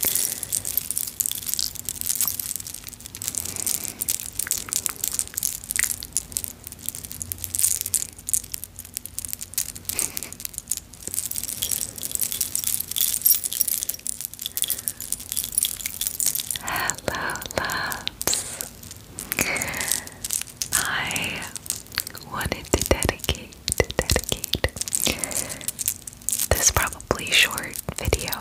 Hello, loves. I wanted to dedicate, dedicate this probably short video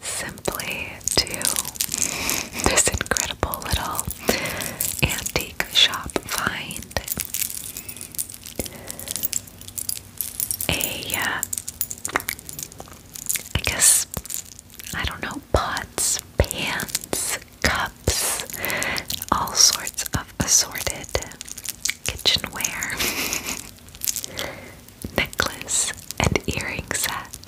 simply to this incredible little antique shop find. A, uh, guess, I don't know, pots, pans, cups, all sorts of assorted kitchenware, necklace, and earring set.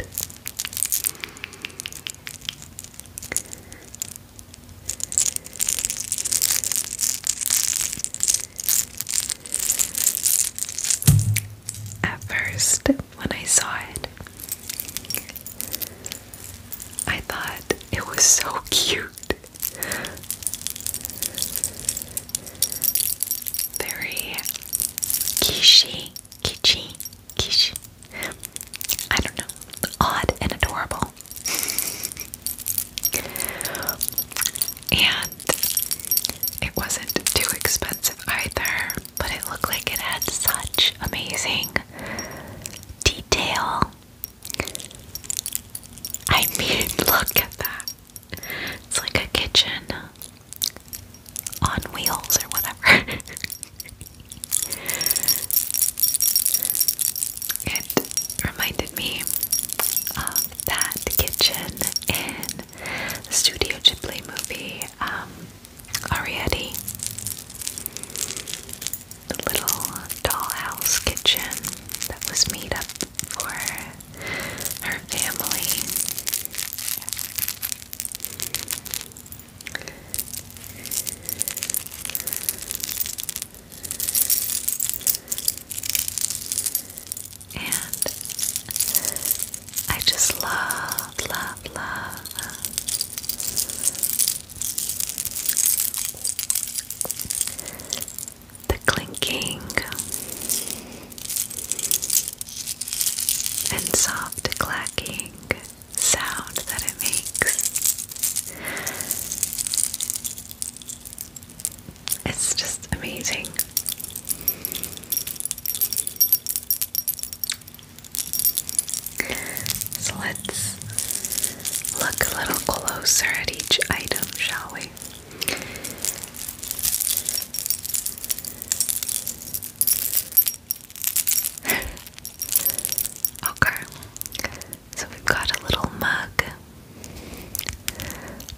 At first, when I saw it, I thought it was so cute. Very kitschy, kitschy, kitsch. I don't know. Odd and adorable. and it wasn't too expensive either, but it looked like it had such amazing detail I mean, look at that. It's like a kitchen on wheels or whatever. it reminded me of that kitchen in Studio Ghibli movie, um, the little dollhouse kitchen that was made up for her family. And I just love, love, love the clinking and soft clacking sound that it makes. It's just amazing. So let's look a little closer at each item, shall we? okay, so we've got a little mug.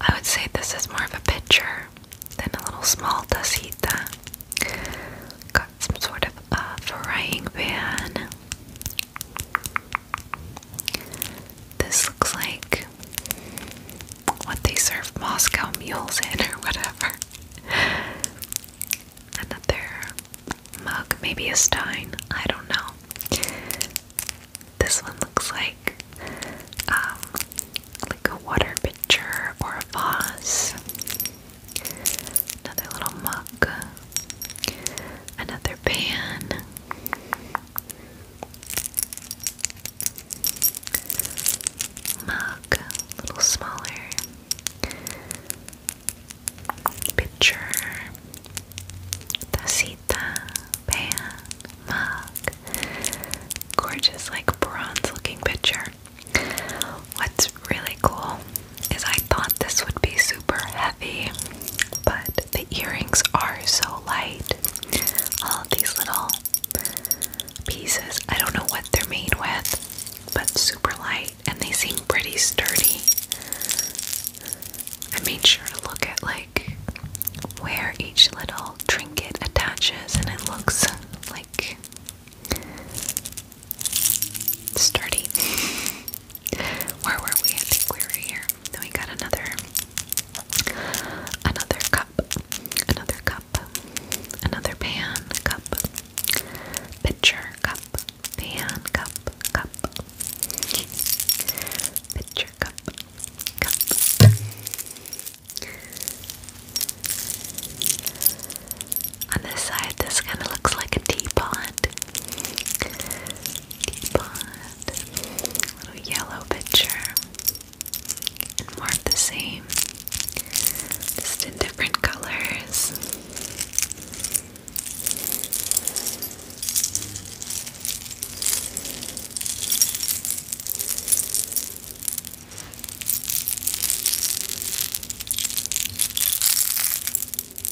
I would say this is more of a pitcher than a little small tacita. Got some sort of a uh, frying pan. This looks like what they serve Moscow mules in or whatever. Another mug, maybe a stein, I don't know. This one looks like um, like a water pitcher or a vase. Another little mug. Another pan. Mug, little smaller. Pitcher. Tacita, pan, mug. Gorgeous, like bronze looking pitcher. What's really cool is I thought this would be super heavy, but the earrings are so light. All these little pieces, I don't know what they're made with, but super light and they seem pretty sturdy. I made sure to look at like where each little trinket attaches and it looks like sturdy. Where were we? I think we were here. Then we got another another cup. Another cup. Another pan cup. Pitcher cup. Pan cup cup. Pitcher cup. Cup. On this side, this kind of looks like a teapot. Teapot. Little yellow picture. And more of the same. Just in different colors.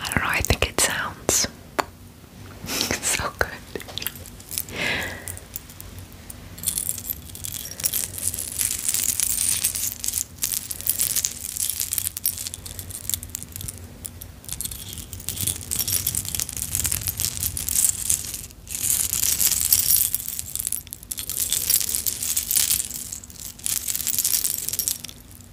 I don't know, I think it sounds so good.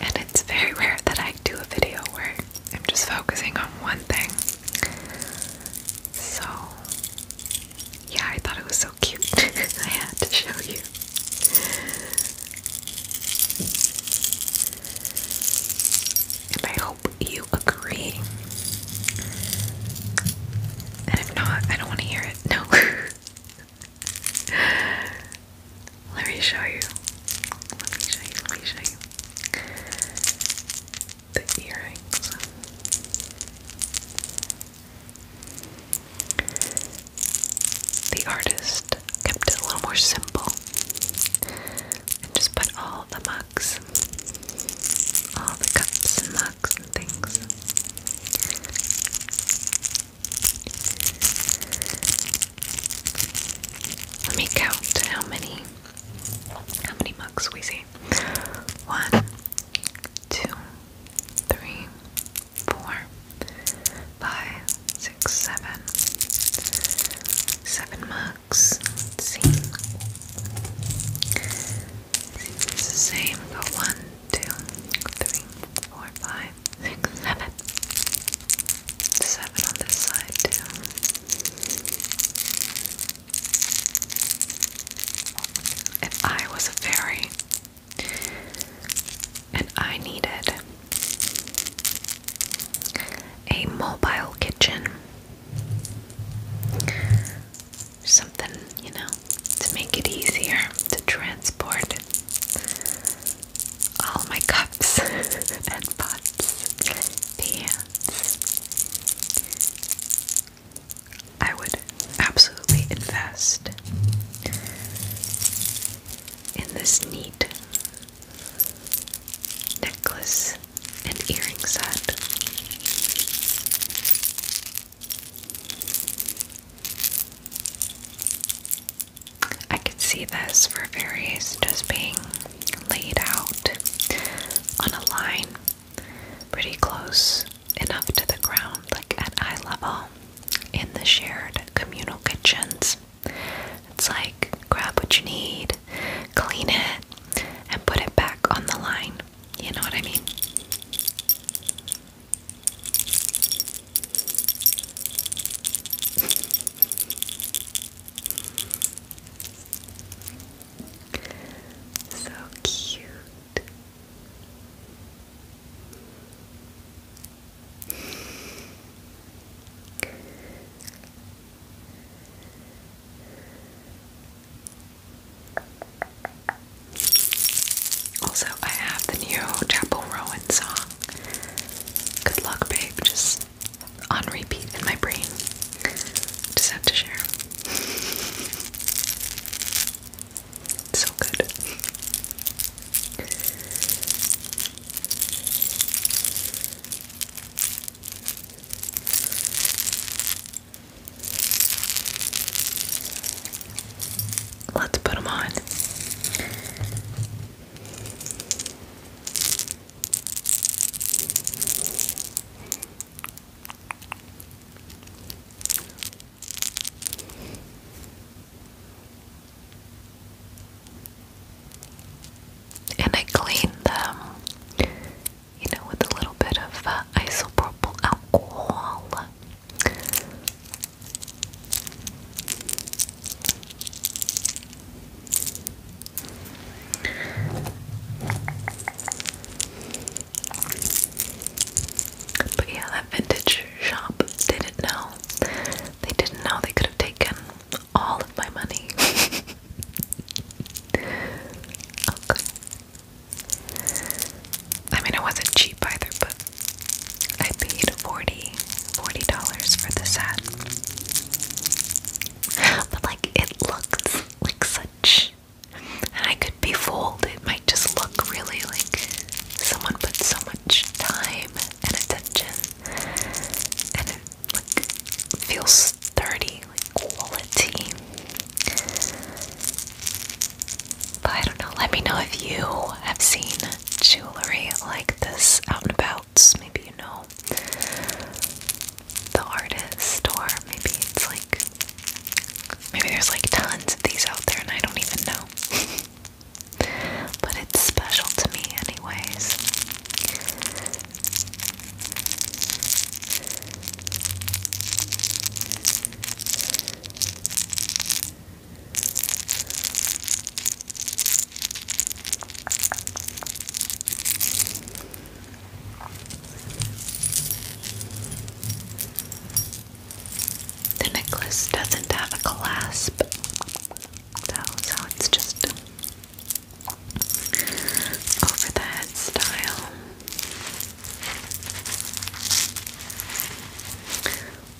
And it's very rare that I do a video where I'm just focusing on one thing. So, yeah, I thought it was so cute. I had to show you. And I hope you agree. And if not, I don't want to hear no. Let me show you. Let me show you. Let me show you. The earrings. The artist kept it a little more simple and just put all the mugs, all the cups and mugs let me count how many how many mugs we see. One, two, three, four, five, six, seven. Seven mugs. see. It's the same. Go one, two, three, four, five, six, seven. Seven on this side too. If I was a fairy and I needed a mobile kitchen something, you know, to make it easier to transport all my cups and pots, pans. I would absolutely invest in this neat necklace and earring set. I could see this for various just being laid out on a line pretty close enough to the ground, like at eye level, in the shared communal kitchens. It's like grab what you need, clean it, and put it back on the line. You know what I mean? so cute. Also, I have the new Chapel Rowan song. Good luck, babe. Just on repeat in my brain. Just have to share. so good. Let's put them on. And I cleaned them you know, with a little bit of uh, isopropyl alcohol. But yeah, that vintage shop didn't know. They didn't know they could have taken all of my money. okay. I mean, it wasn't cheap either, but I paid 40 dollars for the set. But, like, it looks like such. And I could be fooled. It might just look really like someone put so much time and attention, and it feels sturdy quality. But I don't know, let me know if you have seen jewelry like this out and about. Maybe you know the artist, or maybe it's like maybe there's like tons of these out there and I don't even know. but it's special to me anyways. The necklace doesn't have a clasp, so, it's just over the head style.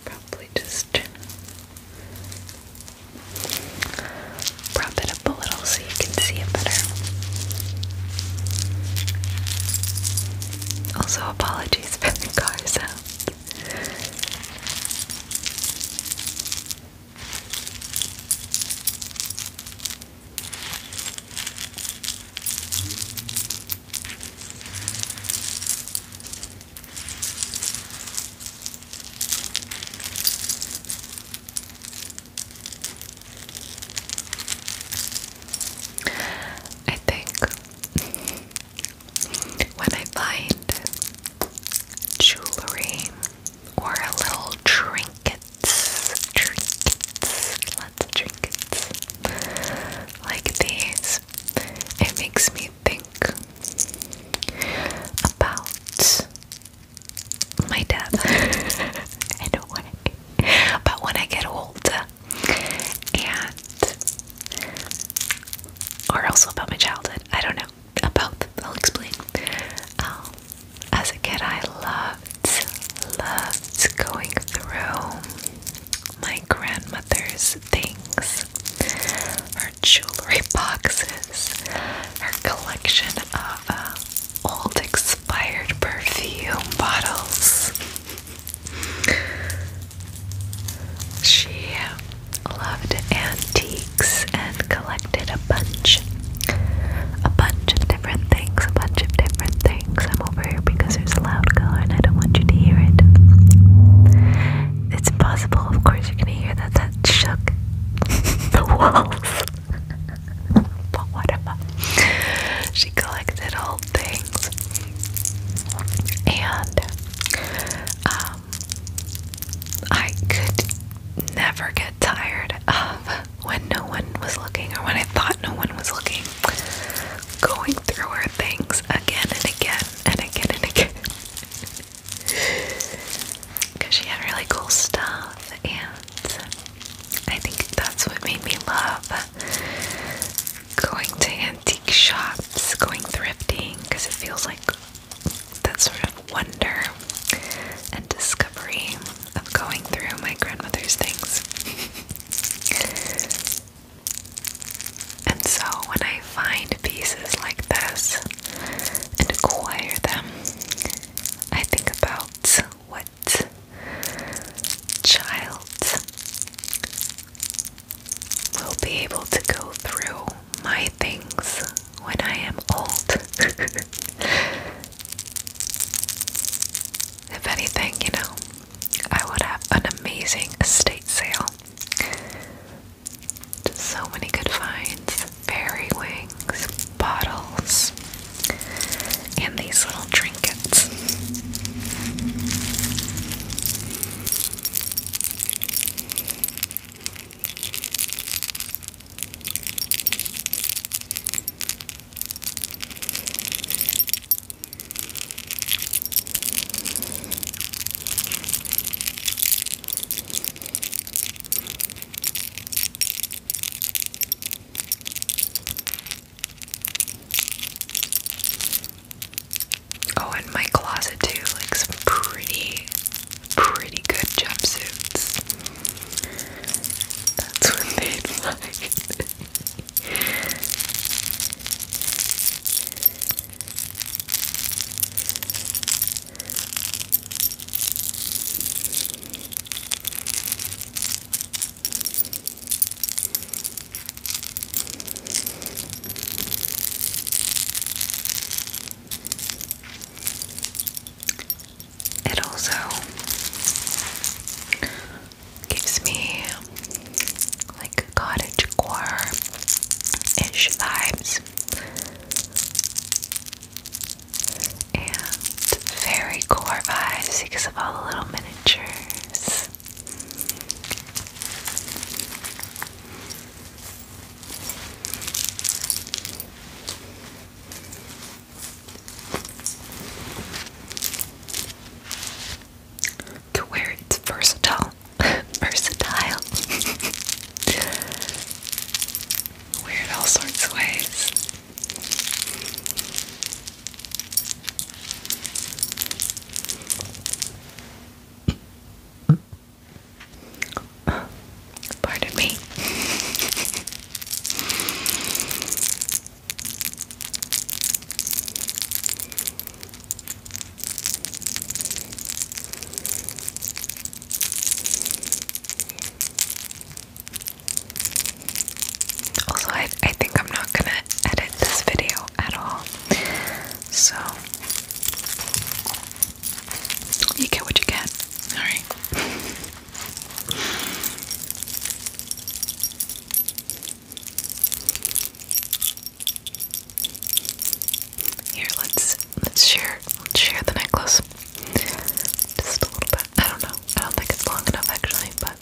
Probably just prop it up a little so you can see it better. Also, apologies for the car sound. I think when I find jewelry or a little trinket trinkets, lots of trinkets like these. It makes me think about my death I don't want but when I get older and or also about my childhood I don't know about I'll explain um, as a kid, I loved, loved going through my grandmother's things, her jewelry boxes, her collection of uh, old expired perfume bottles. She loved antiques and collected a bunch a bunch of different things, a bunch of different things. I'm over here because there's a loud car and I don't want you to hear it. It's impossible, of course, you're gonna hear that. That shook the walls. but whatever. She collected old things. And, um, I could never get tired of when no one was looking, or when I thought no one was looking, going through her things again and again and again and again. Because she had really cool stuff, and I think that's what made me love going to antique shops, going thrifting, because it feels like that sort of wonder and discovery of going through my grandmother's things. and so when I find pieces like this and acquire them, I think about what child will be able to go through my things when I am old. If anything, you know, I would have an amazing estate sale. so many good finds fairy wings, bottles, and these little trinkets. Oh, and my closet too, like some pretty, pretty good jumpsuits. That's what they like it also gives me like cottage core ish vibes and very core vibes because of all the little miniatures. To where it's versatile. versatile. it all sorts of ways. Pardon me. Also, I, I think I'm not gonna edit this video at all. So, you get what you get. Alright. Here, let's let's share share the necklace. Just a little bit. I don't know. I don't think it's long enough actually, but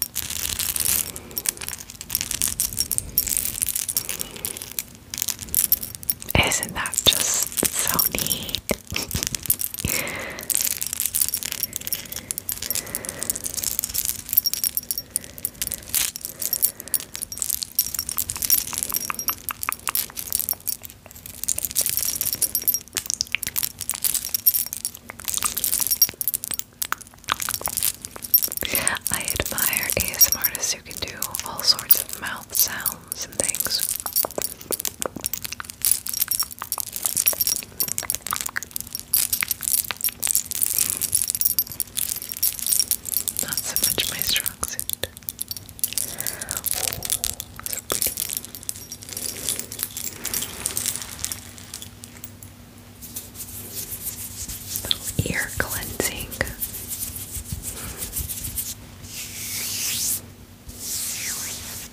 isn't that just so neat? I admire ASM artists who can do all sorts of mouth sounds and things. Not so much my strong suit. Oh, Little ear cleansing. Cleanse your palate.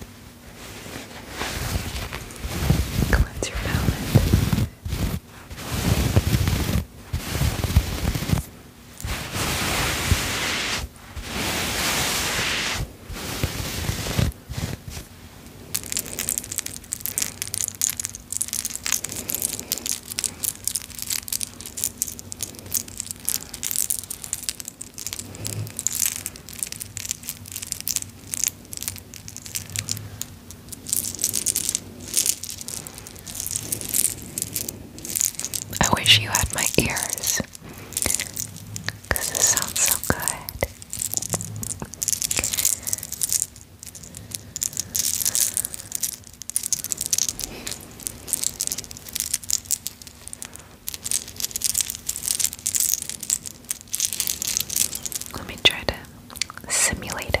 I wish you had my ears it sounds so good. Let me try to simulate it.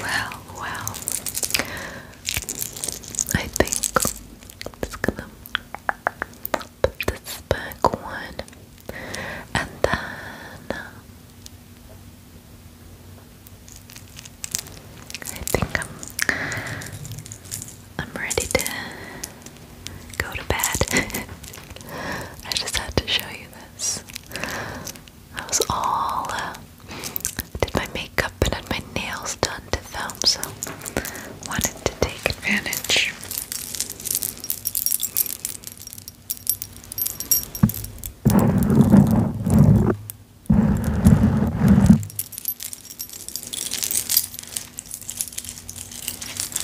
Well, well, I think i gonna put this back one and then uh, I think I'm I'm ready to go to bed. I just had to show you this. I was all uh, did my makeup and had my nails done to film, so wanted to take advantage.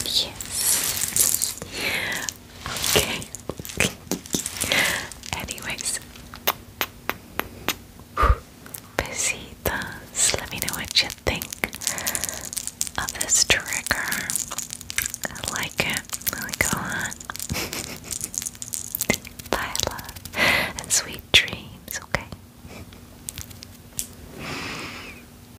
Yes. Okay. Anyways, besitas. Let me know what you think of this trigger. I like it. I like it Bye, love, and sweet dreams. Okay.